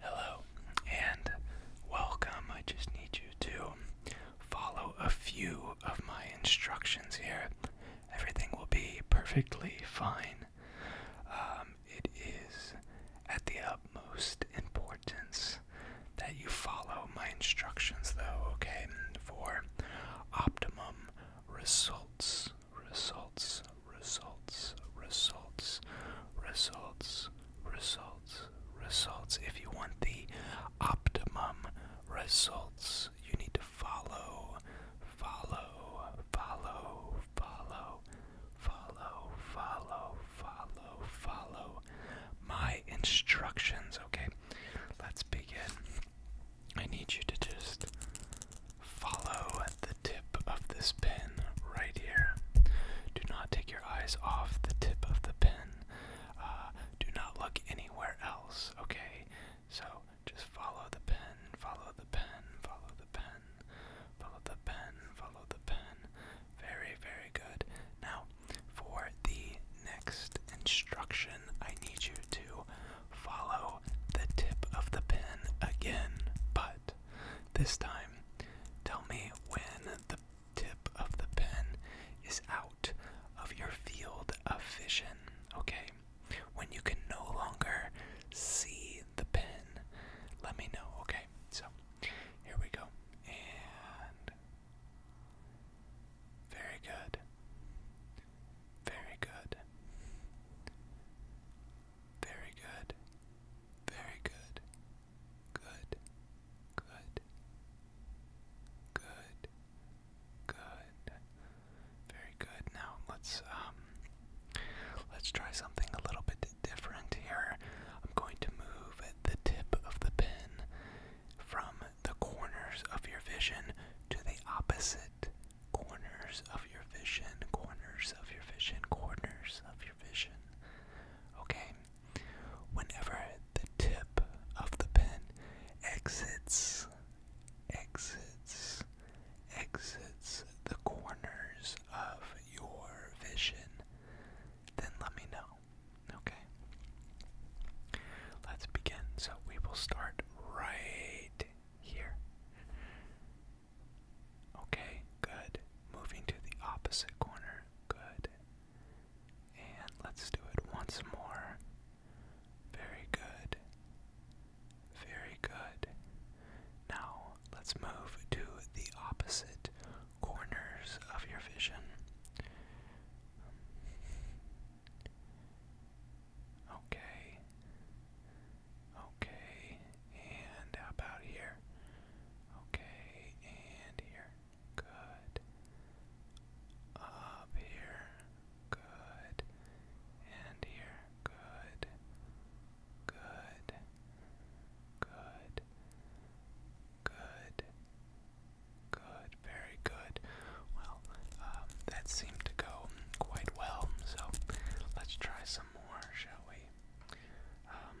Hello and welcome. I just need you to follow a few of my instructions here. Everything will be perfectly fine. Um, it is at the utmost importance that you follow my instructions, though, okay? For optimum results. Results, results, results, results, results, results. If you want the optimum results, you need to follow, follow, follow, follow, follow, follow, follow, follow my instructions. Okay, let's begin. I need you to just Follow the tip of this pen right here. Do not take your eyes off the tip of the pen. Uh, do not look anywhere else, okay? So just follow the pen, follow the pen, follow the pen, follow the pen, follow the pen. Very, very good. Now, for the next instruction, I need you to follow the tip of the pen again, but this time, tell me when the tip of the pen is out of your field of vision, okay? When you can no longer see the pen, let me know, okay? So, here we go. And. Very good. Very good. Very good. Very good. Good. Good. Good. Good. Very good. Now let's um, let's try something a little bit different here. I'm going to move the tip of the pen from the corners of your vision to the opposite corners of your vision, corners of your vision, corners of your vision. Okay? Whenever the tip of the pen exits, exits, exits the corners of your vision, then let me know. Okay? Let's begin. So we will start right here. Okay, good. Moving to the opposite corner. Good. And let's do it once more. Very good. Very good. Now, let's move to the opposite corners of your vision. Okay. Okay, and about here? Okay, and here. Good. Up here. Good. And here. Good. Good. Good. Good. Good. Very good. Well, um, that seemed to go quite well, so let's try some more, shall we? Um,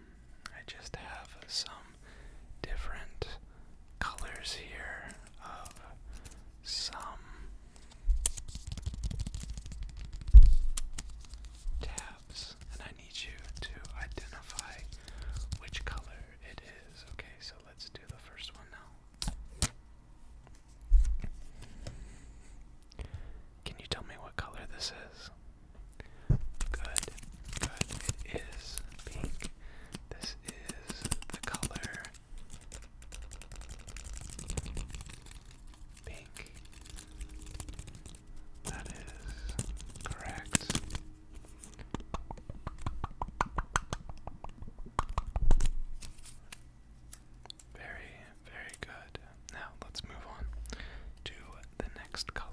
I just have some different colors here of some tabs, and I need you to identify which color it is. Okay, so let's do the first one now. Can you tell me what color this is? Good, good. It is pink. This is the color pink. That is correct. Very, very good. Now let's move on to the next color.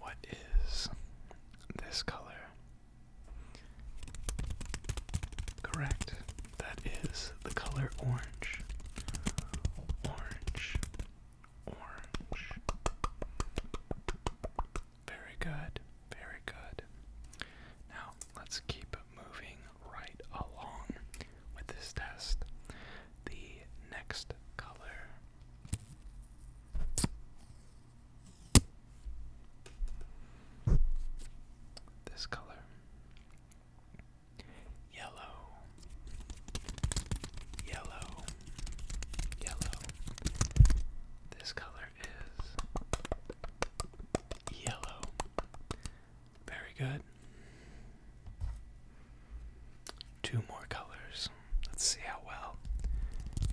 What is this color? Correct. That is the color orange. Orange orange. Very good, very good. Now let's keep moving right along with this test. The next color. This color. Yellow yellow, yellow. This color is yellow. Very good. Two more colors. Let's see how well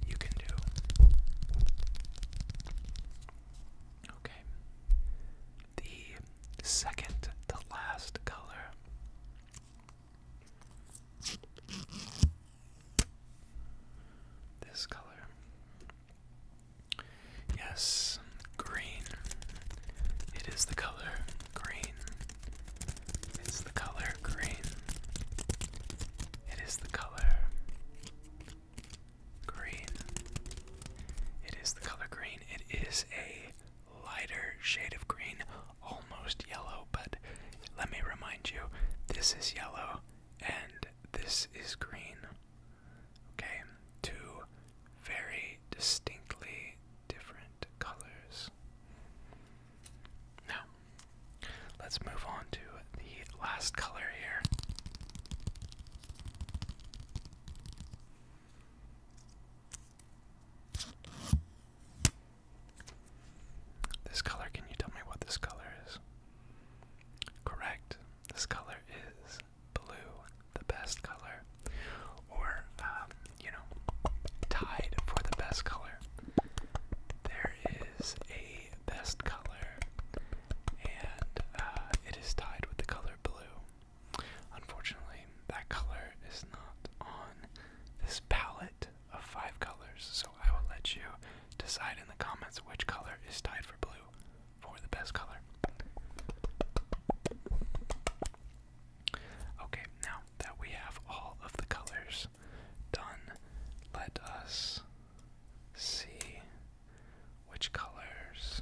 you can do. Okay. The second to last color this color. Yes, green. It is the color green. It's the color green. It is the color green. It is the color green. It is a lighter shade of green, almost yellow, but let me remind you this is yellow and this is green. Okay, two very distinctly different colors. Now, let's move on to the last color here. This color, can you tell me what this color is? Correct. This color is blue, the best color. Or, um, you know, tied for the best color. There is a best color, and uh, it is tied with the color blue. Unfortunately, that color is not on this palette of five colors, so I will let you decide in the comments which color is tied for blue for the best color. Okay, now that we have all of the colors done, let us see which colors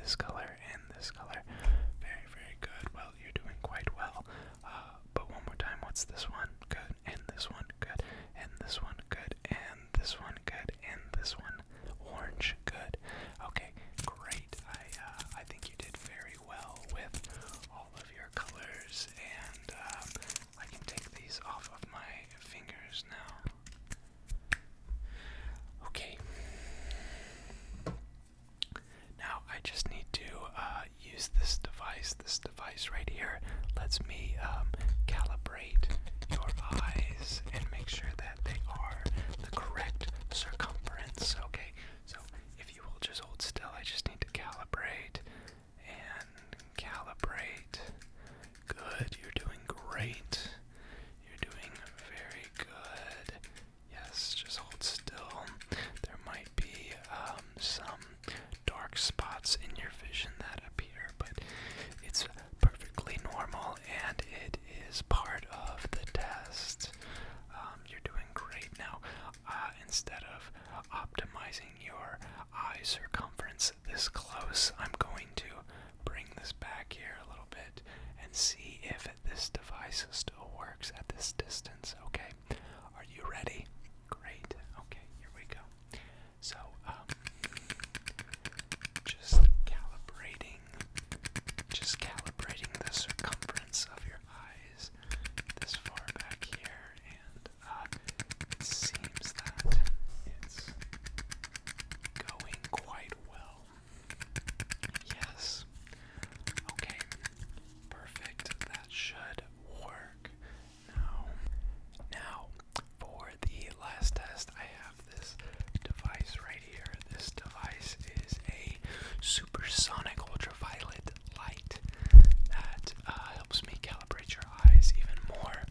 this color, and this color. Very, very good. Well, you're doing quite well. Uh, but one more time, what's this one? Good, and this one, good, and this one, good, and this one, good, and this one, orange, good. Okay, great. I, uh, I think you did very well with all of your colors, and um, I can take these off of my fingers now. Okay. Now I just need to uh, use this device. This device right here lets me um, calibrate your eyes and make sure that they are the correct circumference. Okay, so if you will just hold still, I just need to calibrate and calibrate. Good, you're doing great. You're doing very good. Yes, just hold still. There might be um, some dark spots in your vision that appear, but it's perfectly normal and it is part of the test. Um, you're doing great now. Uh, instead of optimizing your eye circumference this close, I'm going to bring this back here a little bit and see if this device still works at this distance. Okay, are you ready? Great. Okay, here we go. So, um, just calibrating, just calibrating the circumference of your eyes this far back here, and uh, it seems that it's going quite well. Yes. Okay. Perfect. That should work. Now, now for the last test, I have this device right here. This device is a supersonic ultraviolet light that uh, helps me calibrate your eyes even more.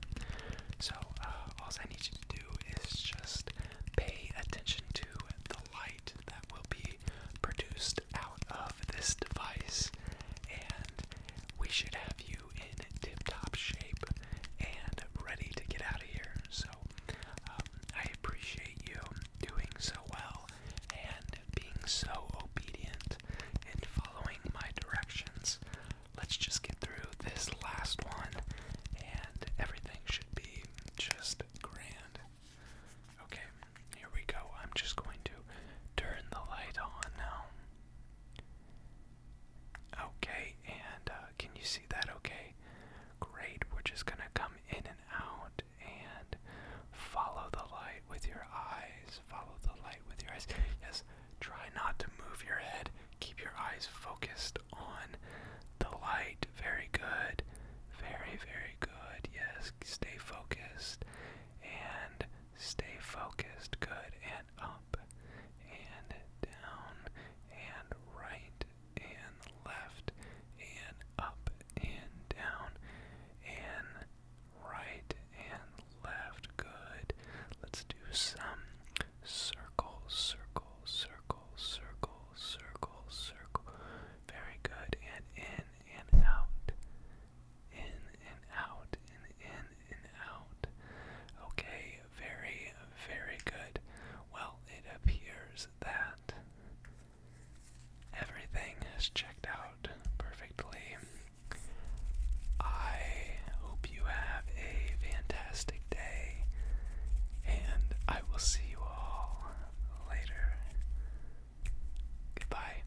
So, uh, all I need you to do is just pay attention to the light that will be produced out of this device, and we should have you in tip top shape and ready to get out of here. So, um, I appreciate you doing so well and being so obedient and following my directions. Let's just get through this last one, and everything should be just grand. Okay, here we go. I'm just going to turn the light on now. Okay, and uh, can you see that okay? Great, we're just gonna come in and out and follow the light with your eyes. Follow the light with your eyes. Yes, try not to move your head. Keep your eyes focused on the light. Very good. Very, very good. Yes, stay focused. And stay focused. Good. And up. And down. And right. And left. And up. And down. And right. And left. Good. Let's do some Circle, circle, circle, circle, circle, circle. Very good. And in and out. In and out. And in and out. Okay, very, very good. Well, it appears that everything has checked out perfectly. I hope you have a fantastic day, and I will see you all later. Goodbye.